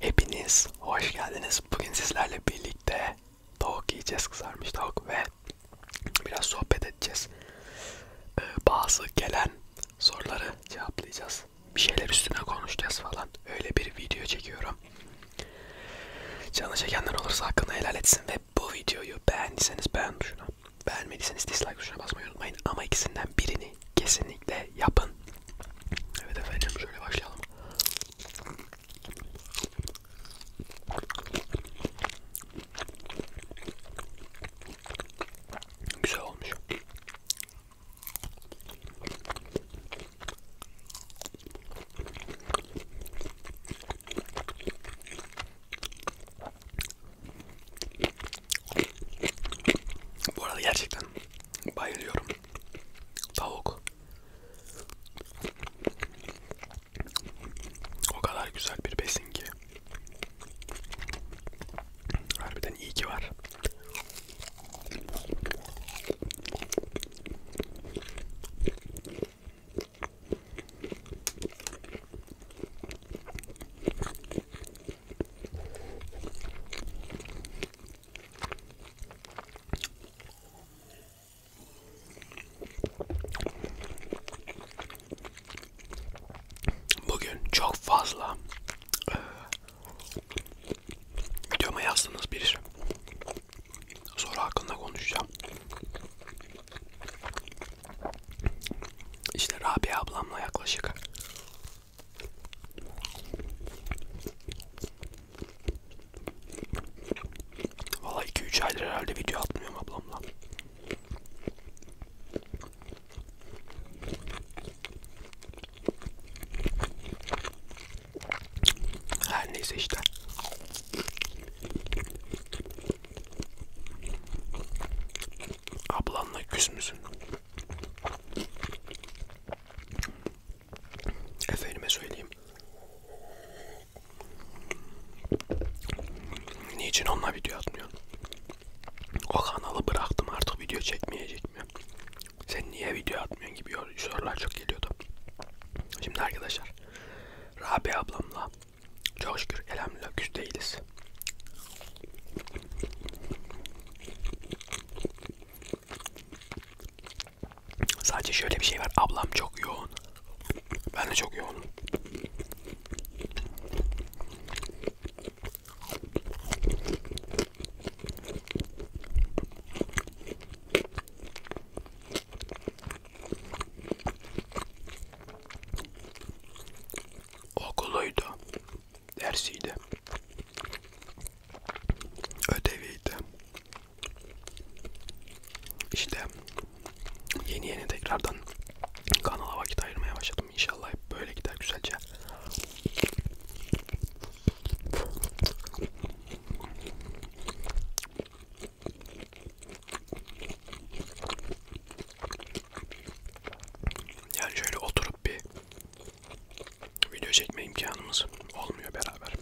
Hepiniz hoş geldiniz. Bugün sizlerle birlikte tavuk yiyeceğiz. Kızarmış tavuk ve Biraz sohbet edeceğiz. Ee, bazı gelen soruları cevaplayacağız. Bir şeyler üstüne konuşacağız falan. Öyle bir video çekiyorum. Canı çekenler olursa hakkını helal etsin ve bu videoyu beğendiyseniz beğen tuşuna, beğenmediyseniz dislike tuşuna basmayı unutmayın. Ama ikisinden birini kesinlikle yapın. Evet efendim şöyle başlayalım. Güzel olmuş. Bu arada gerçekten bayılıyorum. Tavuk. O kadar güzel bir besin ki. Harbiden iyi ki var. Bugün çok fazla e, videoma yazdığınız bir soru hakkında konuşacağım. İşte Rabia ablamla yaklaşık Valla 2-3 aydır herhalde video atmıyorum ablamla. Her neyse işte. Ablanla küs müsün? Efendime söyleyeyim. Niçin onunla video atmıyorsun? O kanalı bıraktım artık video çekmeyecek mi? Sen niye video atmıyorsun gibi sorular çok geliyordu. Şimdi arkadaşlar Rabia ablamla çok şükür elhamdülillah küs değiliz. Sadece şöyle bir şey var. Ablam çok yoğun. Ben de çok yoğunum. Okuluydu. Dersiydi. Ödeviydi. İşte yeni yeni tekrardan kanala vakit ayırmaya başladım. İnşallah hep böyle gider güzelce. Yani şöyle oturup bir video çekme imkanımız olmuyor beraber.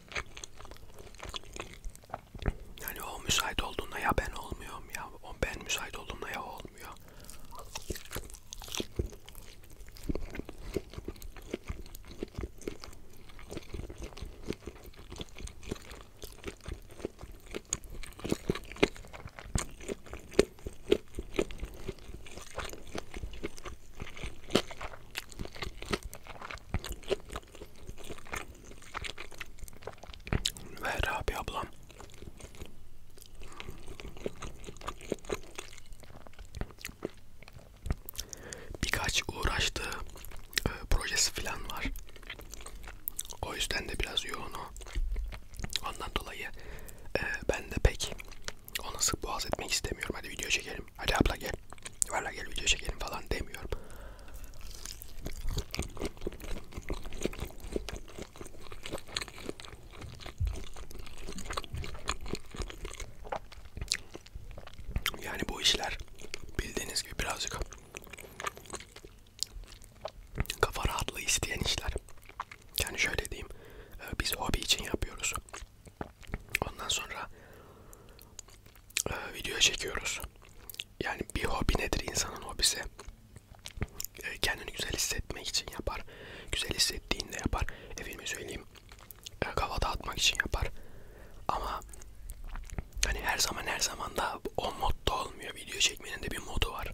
Yani o müsait olduğunda ya ben olmuyorum ya o ben müsait olduğumda ya olmuyor. Ver abi ablam. Birkaç uğraştığı e, projesi falan var. O yüzden de biraz yoğun o. Ondan dolayı e, ben de pek onu sık boğaz etmek istemiyorum. Hadi video çekelim çekelim. Hadi abla gel. Valla gel video çekelim falan demiyorum. Yani bu işler bildiğiniz gibi birazcık kafa rahatlığı isteyen işler. Yani şöyle diyeyim, e, biz hobi için yapıyoruz. Ondan sonra e, video çekiyoruz. Yani bir hobi nedir insanın hobisi? E, kendini güzel hissetmek için yapar. Güzel hissettiğinde yapar. Efendime söyleyeyim. E, kafa dağıtmak için yapar. Ama hani her zaman her zaman da o modda olmuyor. Video çekmenin de bir modu var.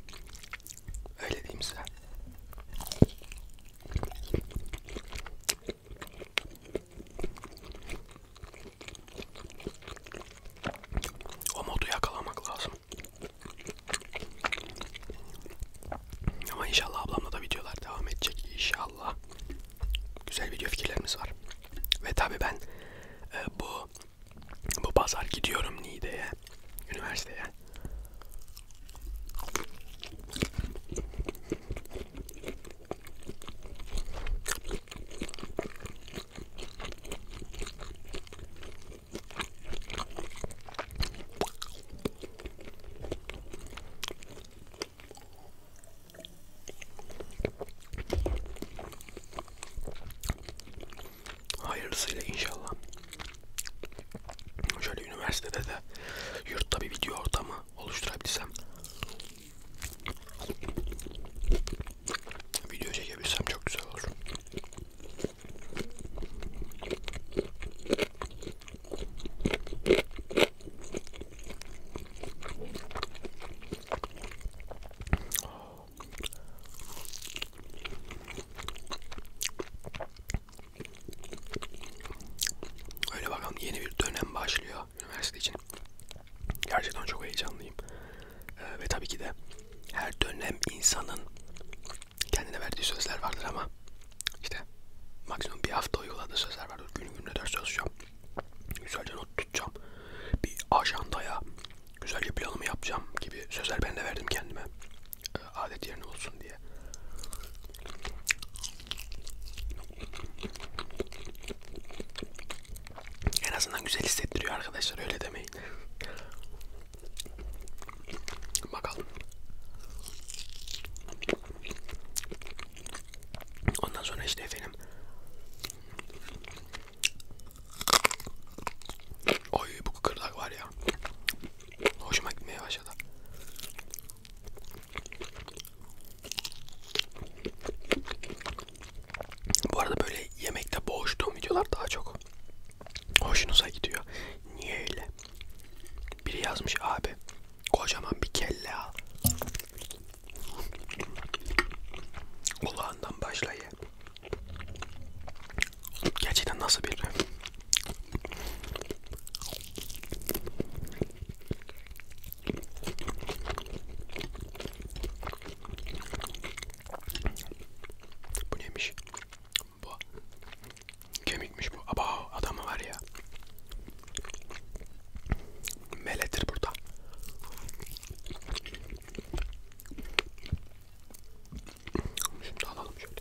Öyle diyeyim size. O modu yakalamak lazım. Ama inşallah ablamla da videolar devam edecek inşallah. Güzel video fikirlerimiz var. Ve tabii ben e, bu bu pazar gidiyorum Niğde'ye, üniversiteye. Hayırlısıyla inşallah. Şöyle üniversitede de yurtta bir video ortamı oluşturabilsem video çekebilsem çok güzel olur. Öyle bakalım yeni bir dönem başlıyor üniversite için. Gerçekten çok heyecanlıyım. Ee, ve tabii ki de her dönem insanın kendine verdiği sözler vardır ama işte maksimum bir hafta uyguladığı sözler vardır. Günü gününe ders çalışacağım. Güzelce not tutacağım. Bir ajandaya güzelce planımı yapacağım gibi sözler ben de verdim kendime adet yerine olsun diye. En azından güzel hissettiriyor arkadaşlar öyle demeyin. Bakalım. Ondan sonra işte efendim. Oy bu kıkırdak var ya. Hoşuma gitmeye başladı başladı. Bu arada böyle yemekte boğuştuğum videolar daha çok hoşunuza gidiyor. Niye öyle? Biri yazmış abi kocaman bir kelle al. Kulağından başla ye. Gerçekten nasıl bir bu neymiş? Bu kemikmiş bu. Aba adamı var ya. Meledir burada. Şimdi alalım şöyle.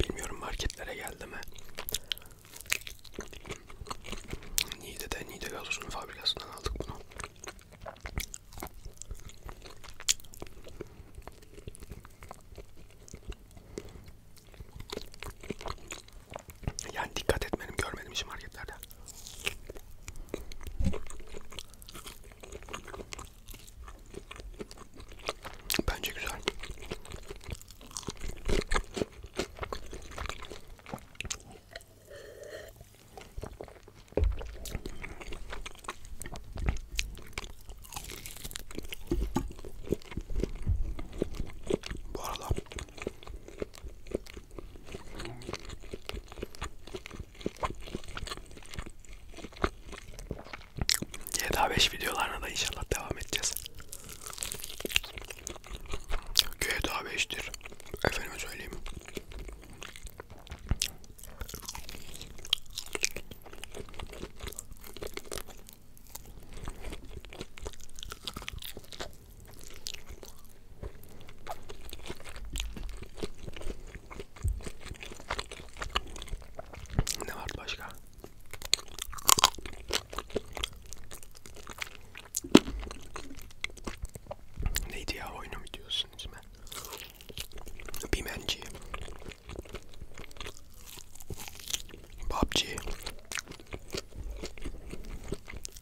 Bilmiyorum marketlere geldi mi? Niğde'de, Niğde Gazoz'un fabrikasından aldık bunu. Yani dikkat etmedim, görmedim hiç marketlerde. Bence güzel. Bu arada GTA 5 videolarına da inşallah devam edeceğiz. GTA 5'tir. Efendime söyleyeyim. Ne var başka? Neydi ya oyunu mu diyorsunuz ben? Bimenci. PUBG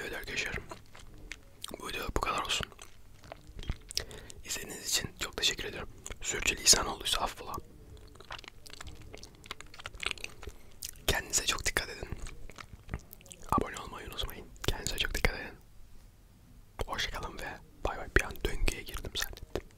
Evet arkadaşlar. Bu video bu kadar olsun. İzlediğiniz için çok teşekkür ediyorum. Sürçülisan olduysa affola. Kendinize çok dikkat edin. Abone olmayı unutmayın. Kendinize çok dikkat edin. Hoşçakalın ve bay bay. Bir an döngüye girdim zannettim.